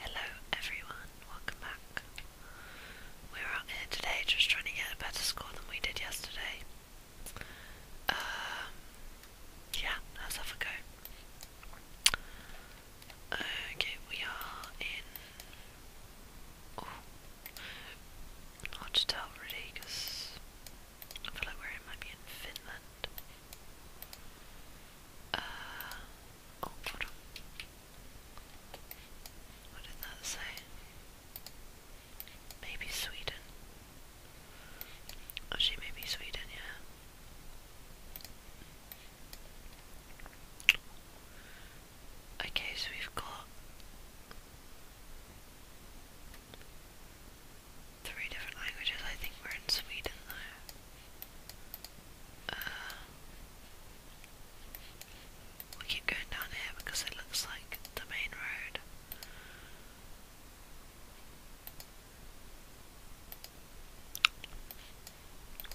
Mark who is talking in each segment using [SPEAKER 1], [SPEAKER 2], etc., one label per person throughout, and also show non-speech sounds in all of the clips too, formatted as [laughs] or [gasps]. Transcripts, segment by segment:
[SPEAKER 1] Hello everyone, welcome back. We're out here today just trying to get a better score than we did yesterday. Um, yeah, let's have a go. Okay, we are in... Oh, hard to tell really because I feel like we're in, might be in Finland. Uh, oh, What did that say? Maybe Sweden. Actually, oh, maybe Sweden, yeah. Okay, so we've got three different languages. I think we're in Sweden though. Uh, we keep going down here because it looks like the main road.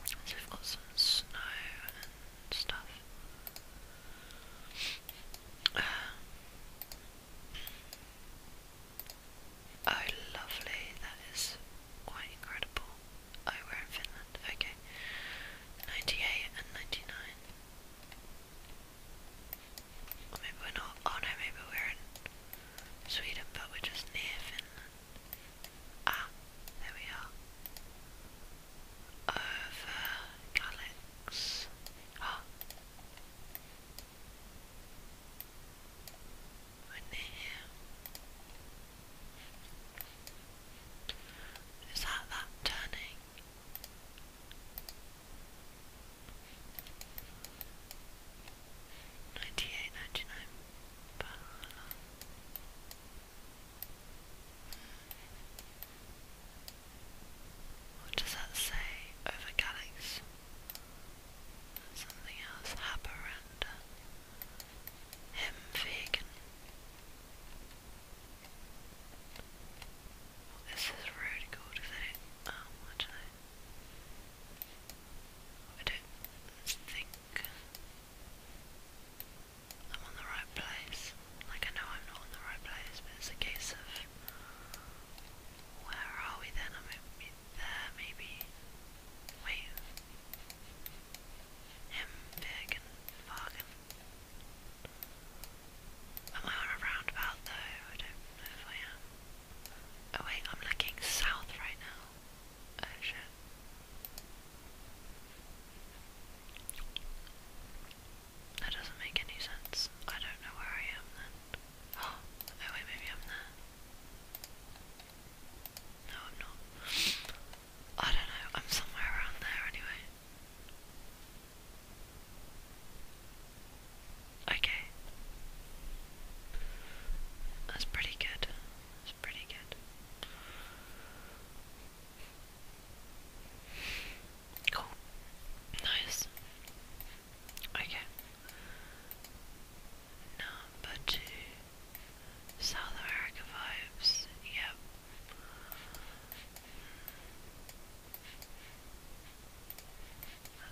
[SPEAKER 1] So we've got snow and stuff. Uh, Oh, lovely. That is quite incredible. Oh, we in Finland. Okay. 98 and 99. Or maybe we're not. Oh no, maybe we're in Sweden, but we're just near Finland. Ah, there we are. Over Galax. Ah. What the Is that that turning? Ninety eight, ninety nine What does that say over Galax? Something else, Haparanda. Uh, Hemwegen. Oh, this is really cool, is oh, I don't think I'm on the right place. Like, I know I'm not on the right place, but it's a case of where are we then? there, uh, maybe. Wait. Am I on a roundabout though? I don't know if I am. Oh wait, I'm looking south right now. Oh, that doesn't make any sense. I don't know where I am then. [gasps] Oh, maybe I'm there. No, I'm not. I don't know, I'm somewhere around there anyway. Okay. That's pretty good. That's pretty good. Cool. Nice. Okay. Number two. South America vibes. Yep.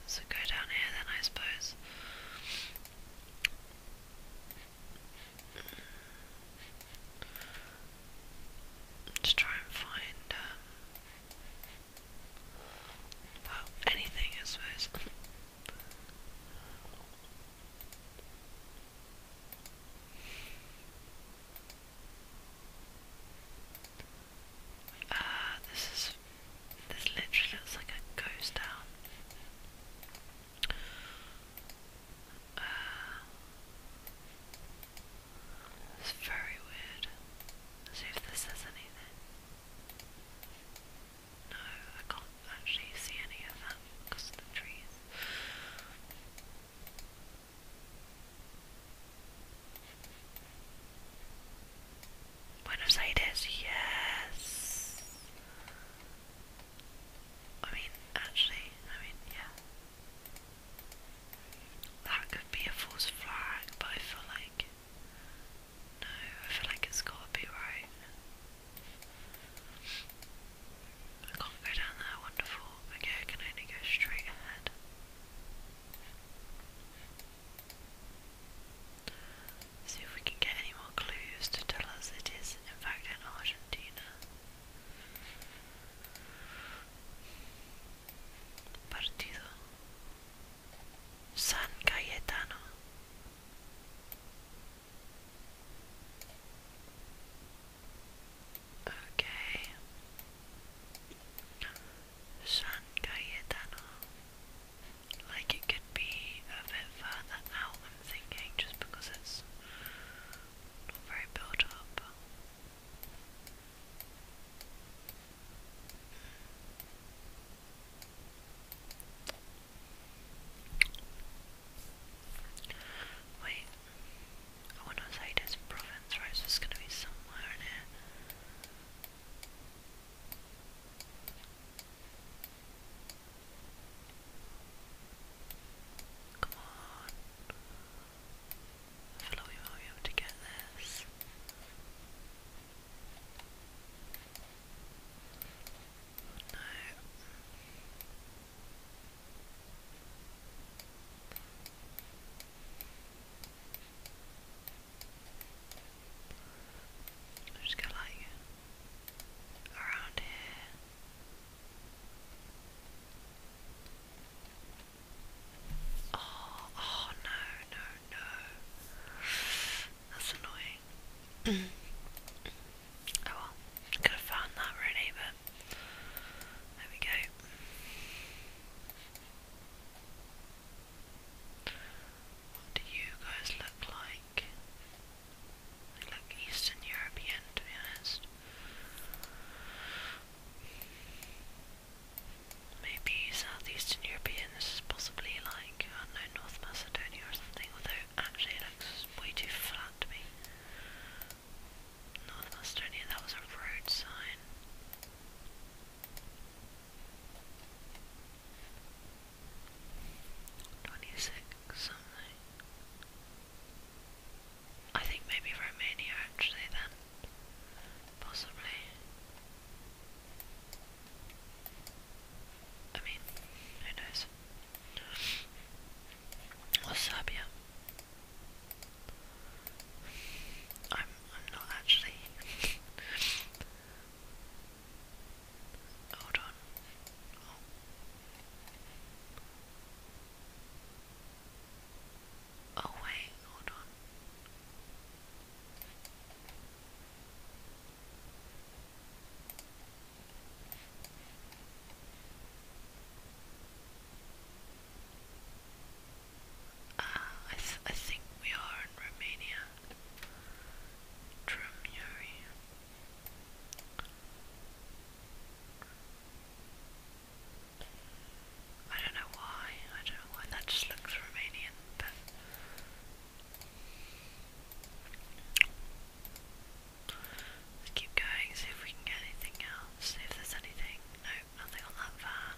[SPEAKER 1] So go down here then, I suppose. Let's try and find um, well, anything, I suppose. Ah, uh, this is. This literally looks like a ghost town. Uh, it's very weird. Let's see if this says anything. No, I can't actually see any of that because of the trees. Buenos Aires, yes! I mean, actually, I mean, yeah. That could be a false flag, but I like no, I feel like it's I can't go down there, wonderful. I can only go straight ahead. See if we can get any more clues to tell us it is, in fact, in Argentina. Partido. San Cayetano. Okay. San Cayetano. Like it could be a bit further out, I'm thinking, just because it's not very built up. Wait, I want to say this province, right? it's gonna be somewhere in Come on. I feel like we might be able to get this. No. I'm just gonna like around here. Oh, oh, no, no, no. That's annoying. [clears throat] oh well, could have found that really, but there we go. What do you guys look like? They look Eastern European, to be honest. Maybe southeastern Europeans, possibly like, I don't know, North Macedonia or something, although actually it looks way too flat to be North Macedonia, that was a road sign. Twenty-six something. I think maybe Romania actually then. Possibly. I mean, who knows? Or Serbia. I'm I'm not actually [laughs] Hold on. Oh. Oh wait, hold on. Uh, I, I think we are in Romania. Drumuri. I don't know why, I don't know why, that just looks Romanian, but... Let's keep going, see if we can get anything else, see if there's anything. No, nothing on that van.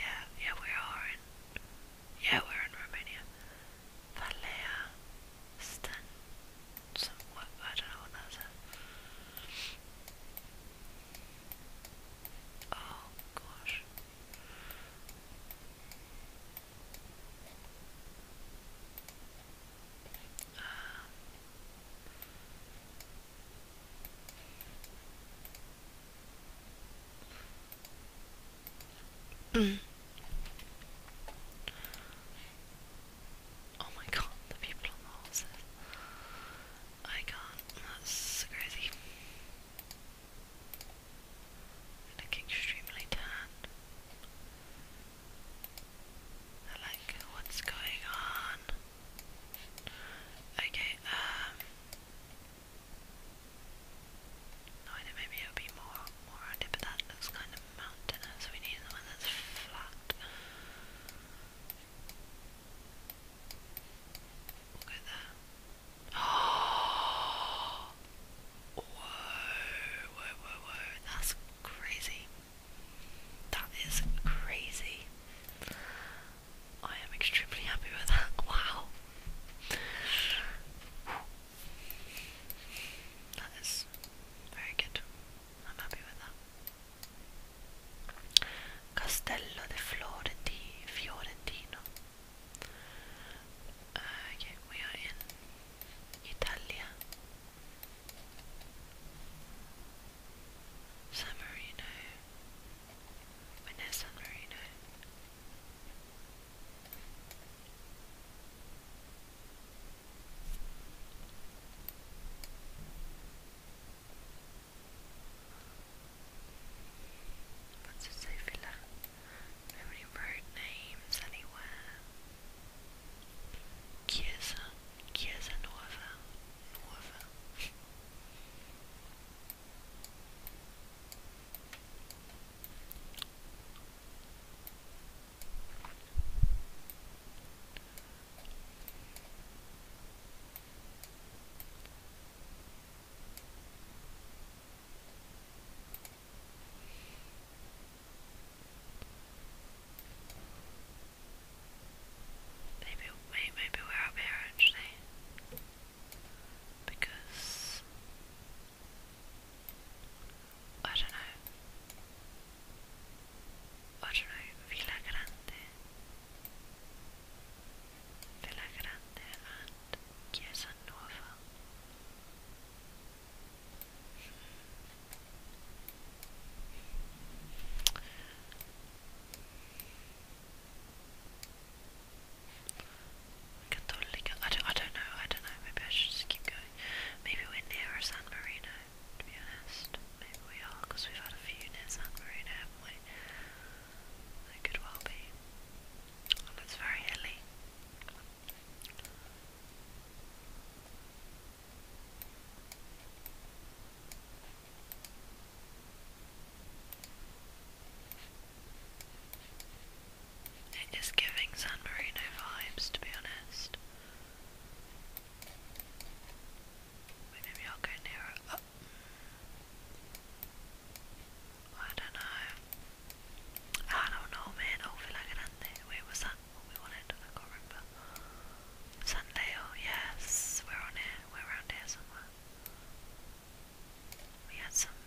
[SPEAKER 1] Yeah, yeah, we are in... Yeah, we're in Romania. Valea Stan some what I don't know what that says. Oh gosh. Uh, [clears throat] Oh my god, the people on the horses. I can't, that's crazy. They extremely tanned. like, what's going on? Okay, um, No, I maybe it'll be more, more rounded, but that looks kind of mountainous. We need one that's flat. We'll go Oh, whoa, whoa, whoa, whoa. That's crazy. That is crazy. I am extremely happy with that. Wow. That is very good. Castello de Florenti, Fiorentino. okay, we are in Italia. San Marino. When is San Marino? What's a Sophie like? Nobody wrote names anywhere. Chiesa, Chiesa Nuova, Nuova. Maybe, maybe, we're up here actually, because I don't know. I don't know, Villa Grande. Villa Grande and Chiesa Nuova. Catholic, I don't, I don't know, I don't know, maybe I should just keep going. Maybe we're nearer San Marino, to be honest. Maybe we are, because we've had a few near San Marino, have could well be. it's very hilly. It is giving San Marino vibes, to be honest. Wait, maybe I'll go nearer. I don't know. I don't know, man. Oh, Villa Grande. Wait, was that what we wanted? I can't remember. San Leo, yes. We're on here. We're around here somewhere. We had something.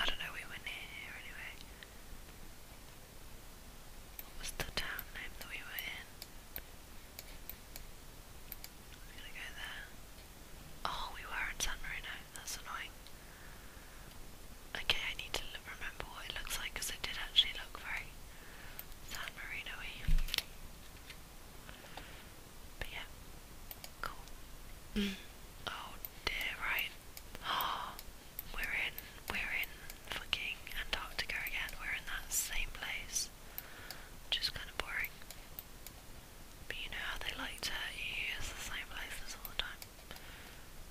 [SPEAKER 1] I don't know, we were near here anyway. What was the town name that we were in? I'm gonna go there. Oh, we were in San Marino that's annoying. Okay, I need to remember what it looks like because it did actually look very San marino But yeah, cool. [clears throat] Oh dear, right. Oh, [gasps] we're in, we're in fucking Antarctica again. We're in that same place. Just kind of boring. But you know how they like to use the same places all the time.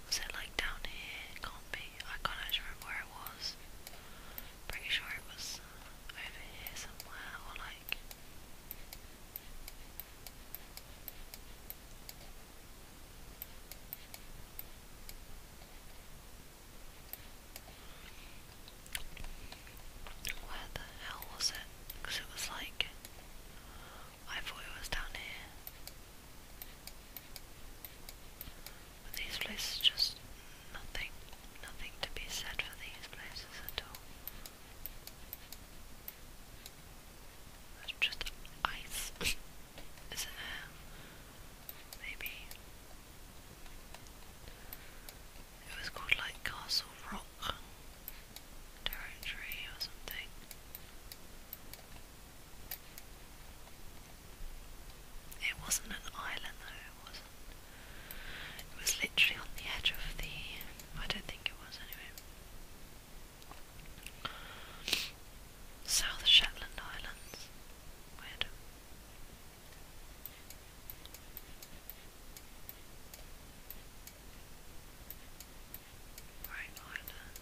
[SPEAKER 1] Was it like down here? It can't be. I can't actually remember where it was. Pretty sure it was over here somewhere or like. Where the hell was it? Because it was like I thought it was down here. these places just nothing, nothing to be said for these places at all. It's just ice, [laughs] is it? Uh, maybe it was called like Castle Rock. Turretry or something. It wasn't an island though, it wasn't. It was literally on the edge of the. I don't think it was anyway. South Shetland Islands. Weird. Right island.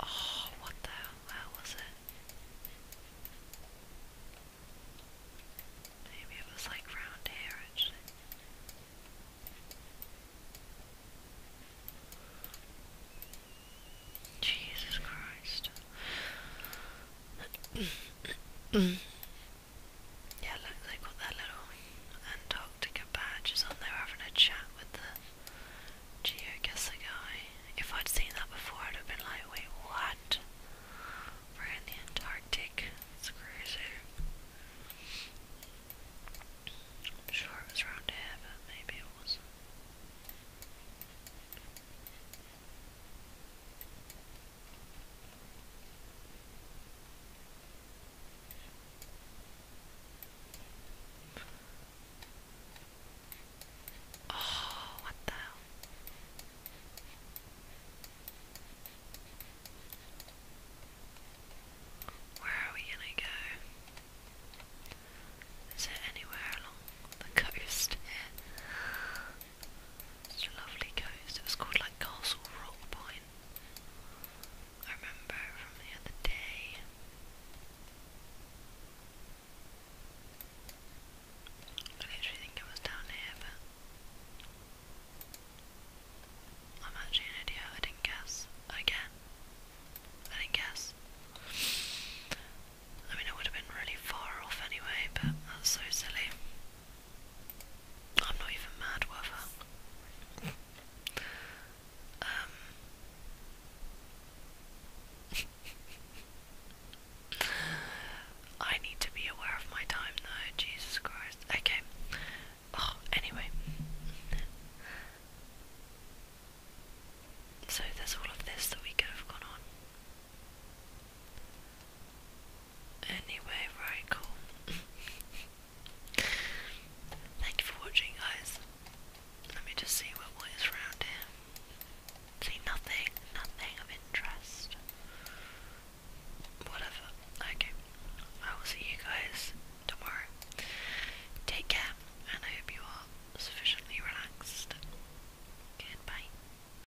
[SPEAKER 1] Oh, what the hell? Where was it? Maybe it was like round here actually. Jesus Christ. [clears throat] Yeah, look, they've got their little Antarctica badges on. They were having a chat with the geoguesser guy. If I'd seen that before, I'd have been like, wait, what? We're in the Antarctic. It's crazy. I'm sure it was around here, but maybe it wasn't. Oh, what the hell? Where are we gonna go? Is there anywhere along the coast such a lovely coast. It was called like Castle Rock Point. I remember from the other day. I literally think it was down here, but I'm actually an idiot. I didn't guess. Again. I didn't guess. I mean, it would have been really far off anyway, but that's so silly. I'm not even mad with her. Um, [laughs] I need to be aware of my time though, Jesus Christ. Okay. Oh, anyway. So there's all of this that we could have gone on. Anyway, right, cool. [laughs] Thank you for watching, guys. Let me just see what, what is around here. See, nothing, nothing of interest. Whatever. Okay. I will see you guys tomorrow. Take care, and I hope you are sufficiently relaxed. Goodbye.